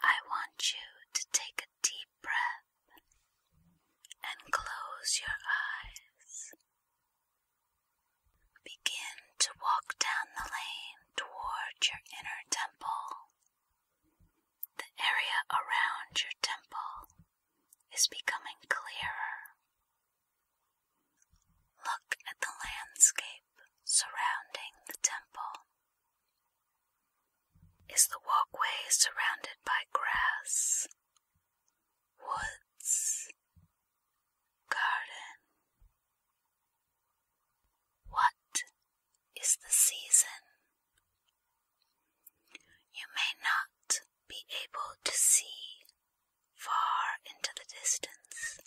I want you to take a deep breath and close your eyes. Begin to walk down the lane toward your inner temple. The area around your temple is becoming clearer. Look at the landscape surrounding the temple. Is the walkway surrounded by grass, woods, garden? What is the season? You may not be able to see far into the distance,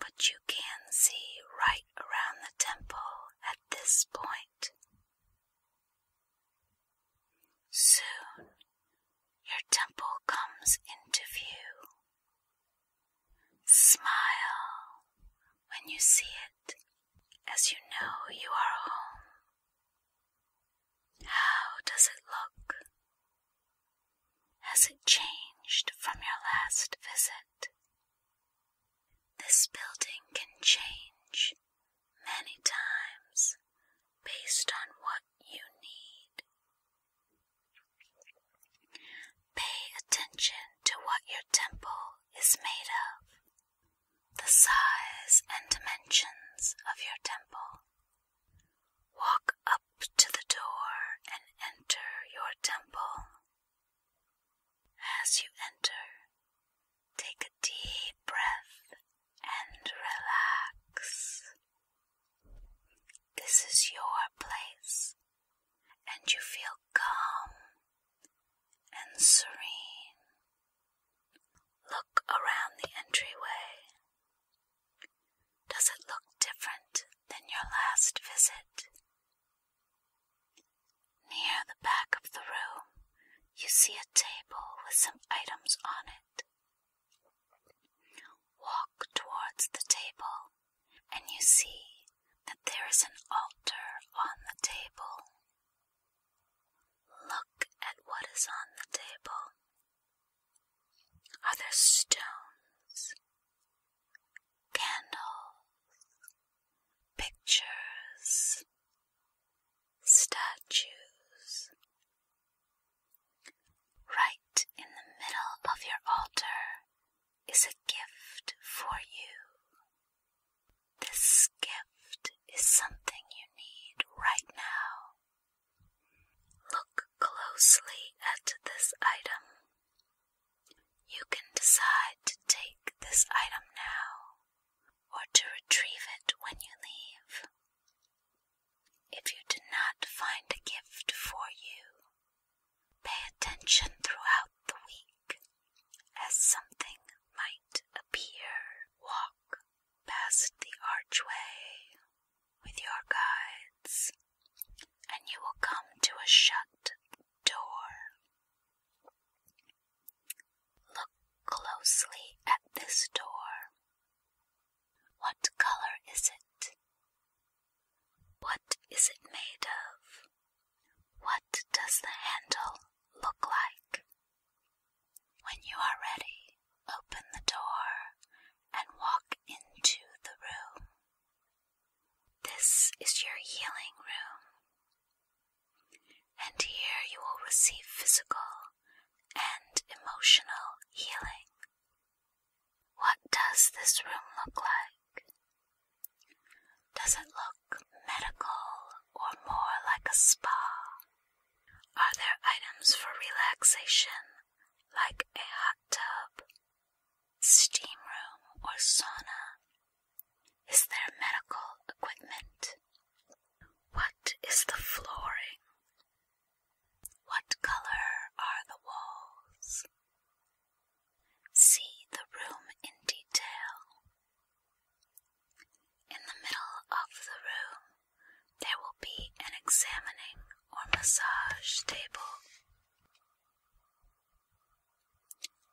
but you can see right around the temple at this point. Soon your temple comes into view. Smile when you see it, as you know you are home. How does it look? Has it changed from your last visit? This building can change many times based on what you need. Pay attention to what your temple is made of, the size and dimensions of your temple. Walk up to the door and enter your temple. As you enter, take a deep breath and relax. This is your place, and you feel calm and serene. Look around the entryway. Does it look different than your last visit? Near the back of the room, you see a table with some items on it. Walk towards the table, and you see that there is an altar on the table. Look at what is on the table. Are there stones, candles, pictures, statues? Right in the middle of your altar is a gift for you. This gift is something you need right now. Look closely at this item. You can decide to take this item now or to retrieve it when you leave. If you do not find a gift for you, pay attention throughout the week as something might appear, walk past the archway with your guides, and you will come to a shut door. Look closely at this door. What color is it? What is it made of? What does the handle look like? When you are ready, open the door and walk into the room. This is your healing room, and here you will receive physical and emotional healing. What does this room look like? Does it look medical or more like a spa? Are there items for relaxation like a hot tub, steam room, or sauna? Is there medical equipment? What is the flooring? What color are the walls? See the room in detail. In the middle of the room, there will be an examining or massage table.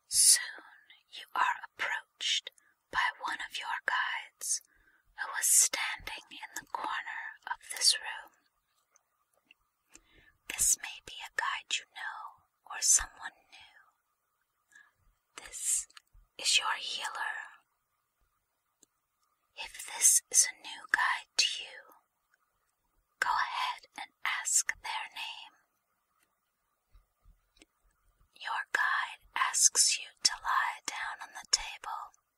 Soon you are approached by one of your guides who is standing in the corner of this room. This may be a guide you know or someone new. This is your healer. If this is a new guide to you, go ahead and ask their name. Your guide asks you to lie down on the table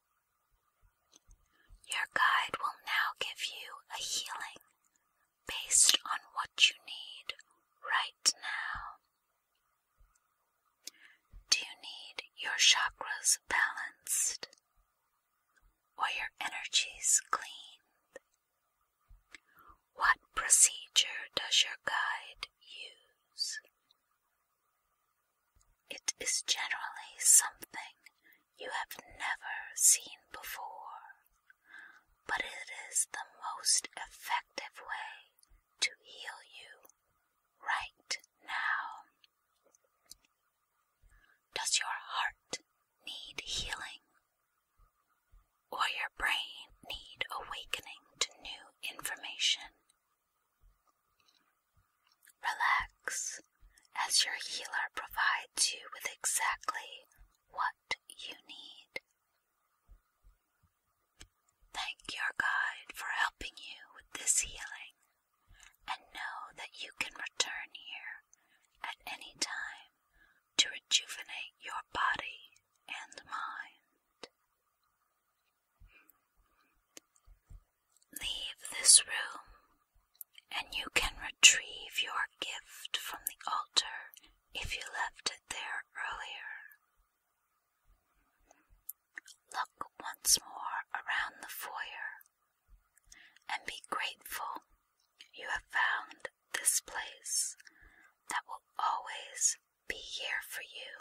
your guide will now give you a healing based on what you need right now. Do you need your chakras balanced or your energies cleaned? What procedure does your guide use? It is generally something you have never seen before, but it is the most effective way to heal you right now. Does your heart need healing? Or your brain need awakening to new information Relax as your healer provides you with exactly what you need. Thank your guide for helping you with this healing and know that you can return here at any time to rejuvenate your body and mind. Leave this room, and you can retrieve your gift from the altar if you left it there earlier. Look once more around the foyer and be grateful you have found this place that will always be here for you.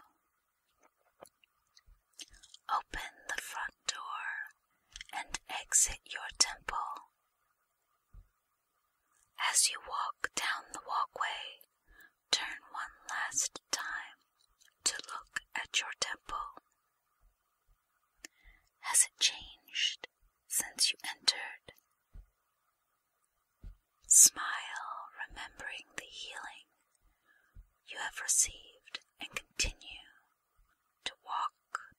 Open the front door and exit your temple. As you walk down the walkway, turn one last time to look at your temple. Has it changed since you entered? Smile, remembering the healing you have received, and continue to walk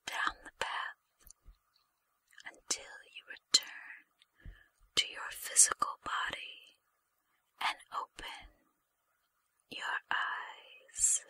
down the path until you return to your physical body and open your eyes.